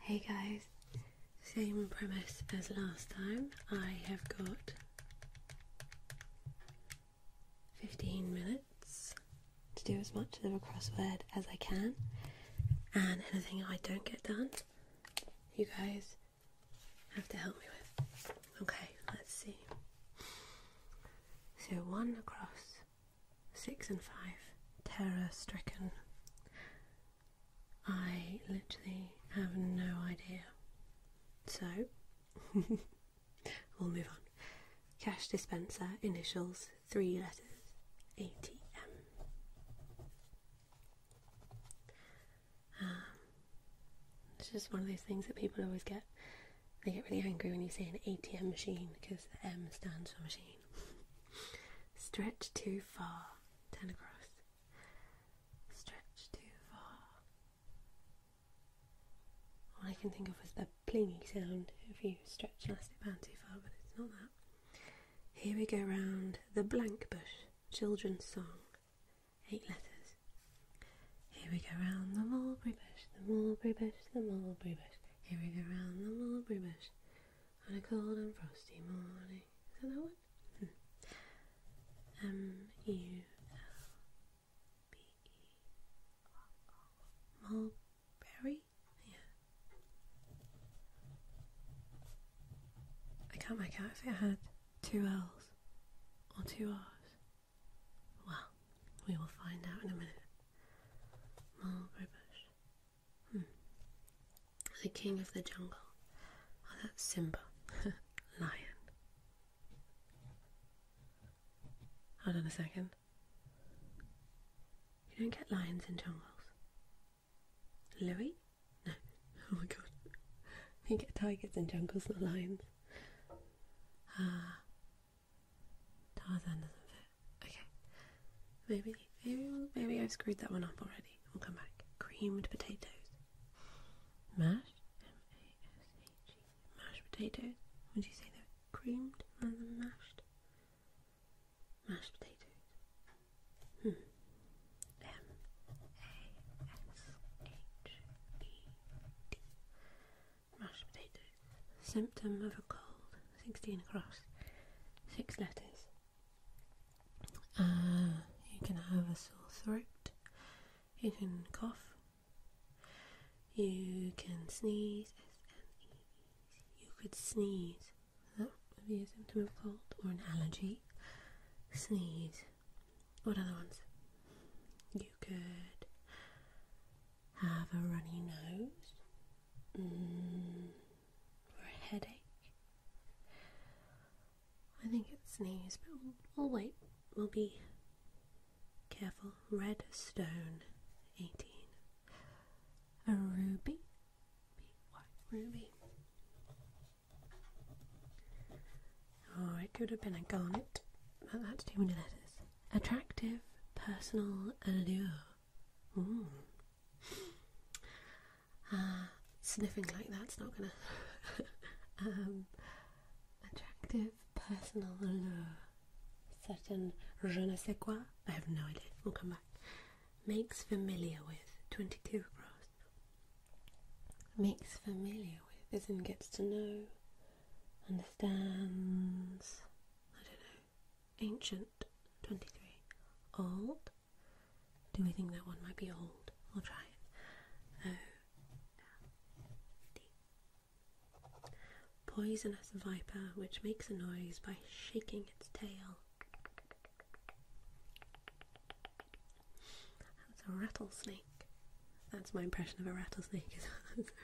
Hey guys, same premise as last time. I have got 15 minutes to do as much of a crossword as I can, and anything I don't get done, you guys have to help me with. Okay, let's see. So, one across six and five, terror stricken. I literally have no idea. So, we'll move on. Cash dispenser, initials, three letters, ATM. Um, it's just one of those things that people always get. They get really angry when you say an ATM machine because the M stands for machine. Stretch too far. Turn across. Stretch too far. All I can think of is the plingy sound if you stretch elastic band too far, but it's not that. Here we go round the blank bush, children's song, eight letters. Here we go round the mulberry bush, the mulberry bush, the mulberry bush. Here we go round the mulberry bush on a cold and frosty morning. Is that that one? Hmm. M U L B E Mulberry? Yeah. I can't make out if it had two L's or two R's. Well, we will find out in a minute. Mulberry bush. Hmm. The king of the jungle. Oh, that Simba. Lion. Hold on a second. You don't get lions in jungles. Louis? No. Oh my god. You get tigers in jungles, not lions. Ah, Tarzan doesn't fit. Okay. Maybe, maybe, maybe I've screwed that one up already. We'll come back. Creamed potatoes. Mashed? M-A-S-H-E. Mashed potatoes. Would you say they're creamed rather than mashed? Mashed potatoes. M-A-S-H-E-D. Hmm mashed potato. Symptom of a cold, 16 across, 6 letters. Uh, you can have a sore throat, you can cough, you can sneeze, you could sneeze, that would be a symptom of cold, or an allergy. Sneeze. What other ones? You could have a runny nose, Mm. or headache. I think it's sneeze, but we'll, wait. We'll be careful. Red stone, 18. A ruby. ruby? Oh, it could have been a garnet, but that's too many letters attractive personal allure. Ah, sniffing like that's not gonna. Um, attractive personal allure. Certain je ne sais quoi, I have no idea, we'll come back. Makes familiar with, 22 across. Makes familiar with, as in gets to know, understands, I don't know, ancient 23. Old? Do we think that one might be old? I'll try it. Oh, Poisonous viper which makes a noise by shaking its tail. That's a rattlesnake. That's my impression of a rattlesnake.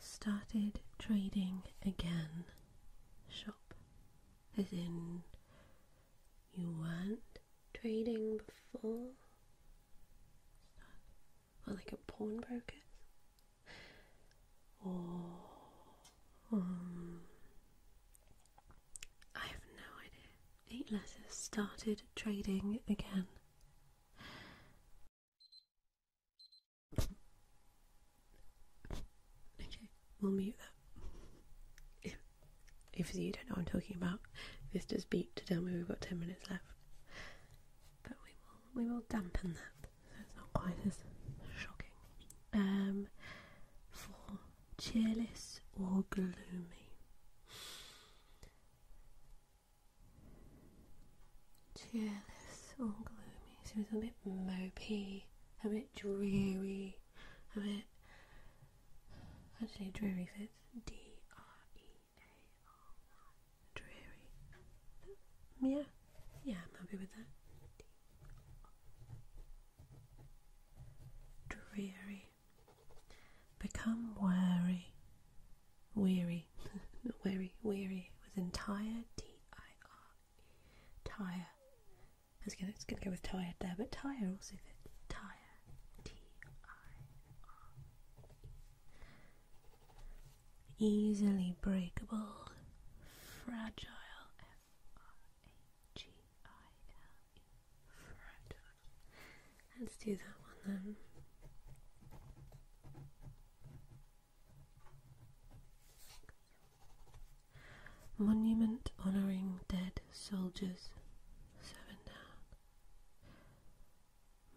started trading again shop as in you weren't trading before or like a pawnbroker's or um, I have no idea. Eight letters started trading again. Okay, we'll mute that. If, if you don't know what I'm talking about, this does beep to tell me we've got 10 minutes left. But we will, we will dampen that so it's not quite as shocking. Um, for cheerless or gloomy. Cheerless or gloomy. So it's a bit mopey, a bit dreary, a bit. Actually, dreary fits. D R E A R Y. Dreary. Yeah, yeah, I'm happy with that. dreary. Become wary weary, weary, weary with entire T I R E, tire. I was going it's gonna go with tire there, but tire also fits. Tire, T I R E. Easily breakable, fragile, F R A G I L E, fragile Let's do that one then. Monument honoring dead soldiers, seven down.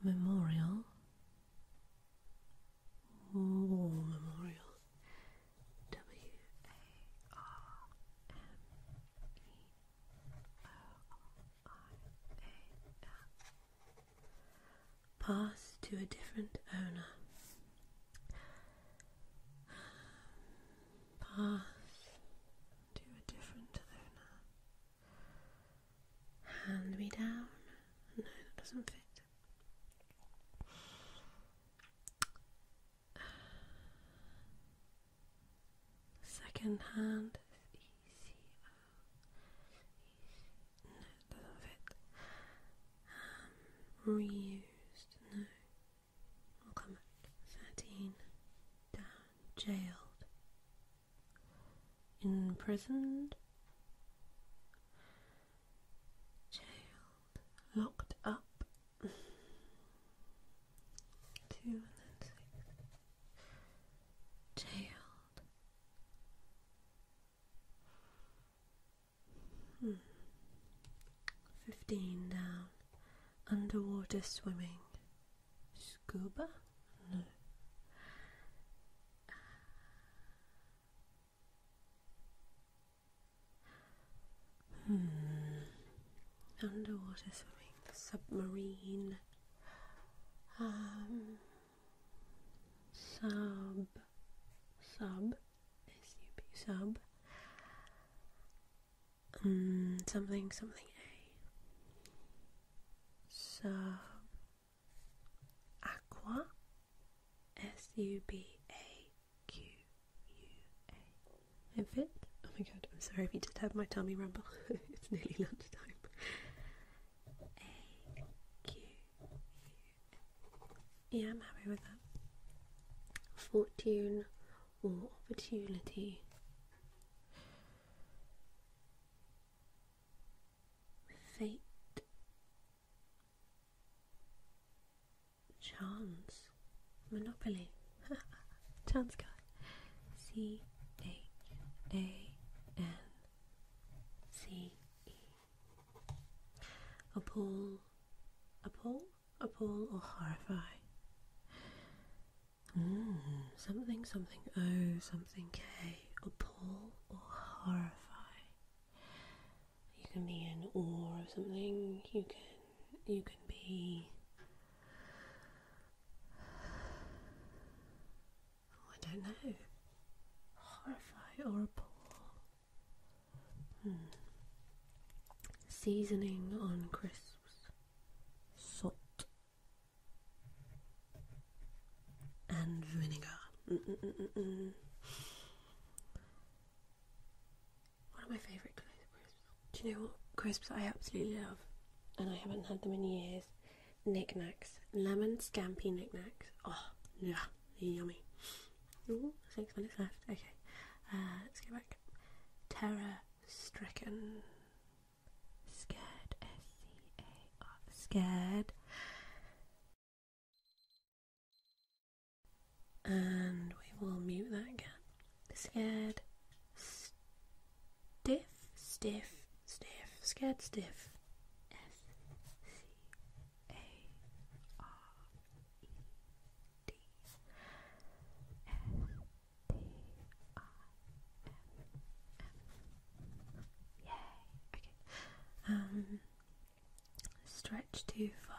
Memorial, war memorial, W A R M E O R. Pass to a different owner. Pass to a different owner. Hand me down. No, that doesn't fit. Second hand no, doesn't um, reused. No. Thirteen. Down. Jailed. Imprisoned. Jailed. Locked up. Two and six. Child. Hmm. Fifteen down. Underwater swimming. Scuba? Hmm underwater swimming, submarine, um, sub, sub, S-U-B, mm, something, something A, sub, aqua, S-U-B-A-Q-U-A, if it, oh my god, I'm sorry if you did have my tummy rumble. it's nearly lunchtime. A Q U. Yeah, I'm happy with that. Fortune or opportunity. Fate. Chance. Monopoly. John Scott. C H A N C E. Appall, appall, appall, or horrify. Hmm, something, something, oh, something, K. Appall or horrify. You can be in awe of something. You can, you can be I don't know. Horrify or appall. Hmm. Seasoning on crisps. Salt. And vinegar. One of my favourite crisps do you know what crisps I absolutely love? And I haven't had them in years. Knickknacks. Lemon scampi knickknacks. Oh, yeah, yummy. six minutes left. Okay, uh, let's go back. Terror stricken. Scared. S C A R. Scared. And we will mute that again. Scared. Stiff, stiff, stiff, scared stiff. S C A R E D S T I M M. Yay. Okay. Um. Stretch too far.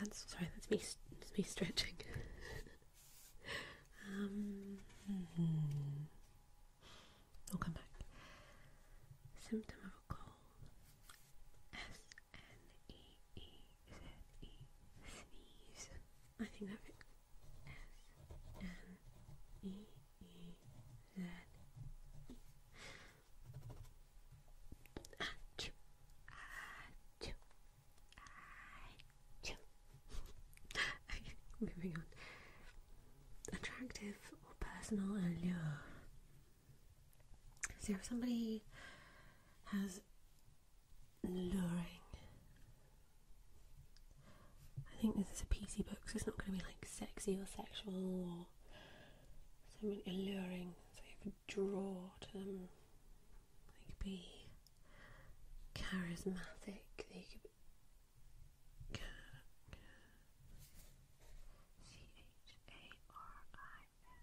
That's sorry. That's me. That's me stretching. um, will hmm. come back. Symptom of a cold. S N E E Z E sneeze. I think that S N E E Z. moving on. Attractive or personal allure. So if somebody has luring. I think this is a PC book, so it's not going to be like sexy or sexual or something alluring. So you have draw to them. They could be charismatic. C H A R I S M.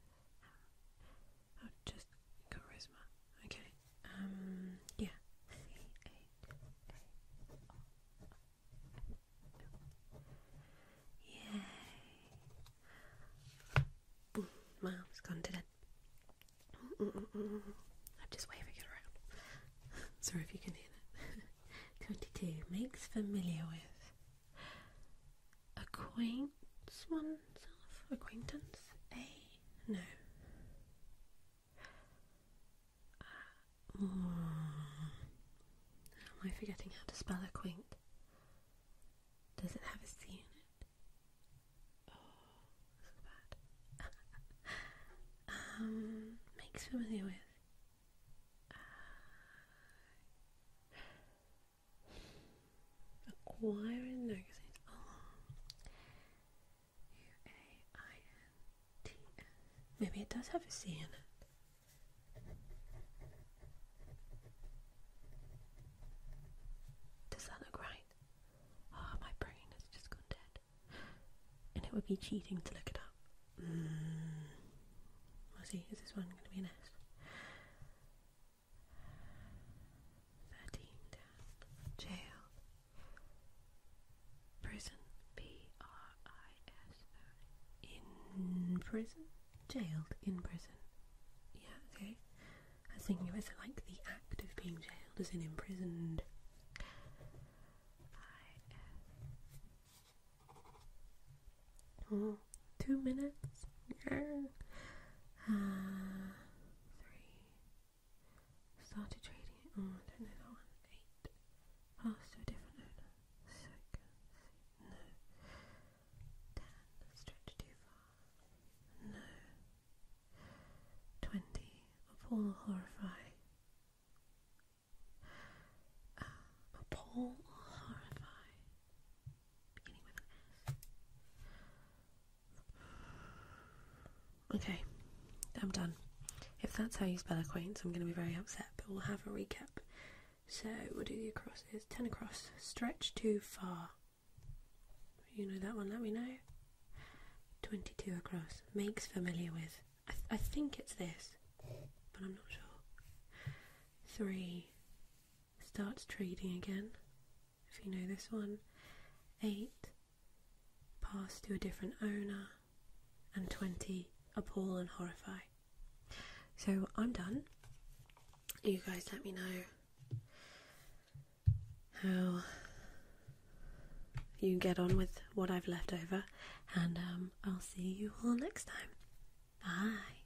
Oh, just charisma. Okay. Um, yeah. Yay. Mm, has gone to dead. I'm just waving it around. Sorry if you can hear that. 22. Makes familiar with. Acquaints oneself? Acquaintance? A? No. am I forgetting how to spell acquaint? Does it have a C in it? Oh, um, makes familiar with. acquiring, no, Oh. U-A-I-N-T-S. Maybe it does have a C in it. Does that look right? Ah, my brain has just gone dead. And it would be cheating to look it up. Mm. we see, is this one going to be an S? 13 jail, prison, P R I S O, in prison, jailed in prison. Yeah, okay. I was thinking of it like the act of being jailed, as in imprisoned. Oh, two minutes. Yeah. Uh, three, Started trading it. Oh, I don't know that one. Eight. Passed to a different owner. Six. No. Ten. Stretched too far. No. Twenty. Appall, horrify. Uh, ah, appall, horrify. Beginning with an S. Okay, I'm done. If that's how you spell a queen, I'm going to be very upset, but we'll have a recap. So we'll do the acrosses. 10 across, stretch too far. You know that one, let me know. 22 across, makes familiar with. I, think it's this, but I'm not sure. 3 starts trading again if you know this one, 8 pass to a different owner, and 20 appall and horrify. So I'm done. You guys let me know how you get on with what I've left over, and um, I'll see you all next time. Bye.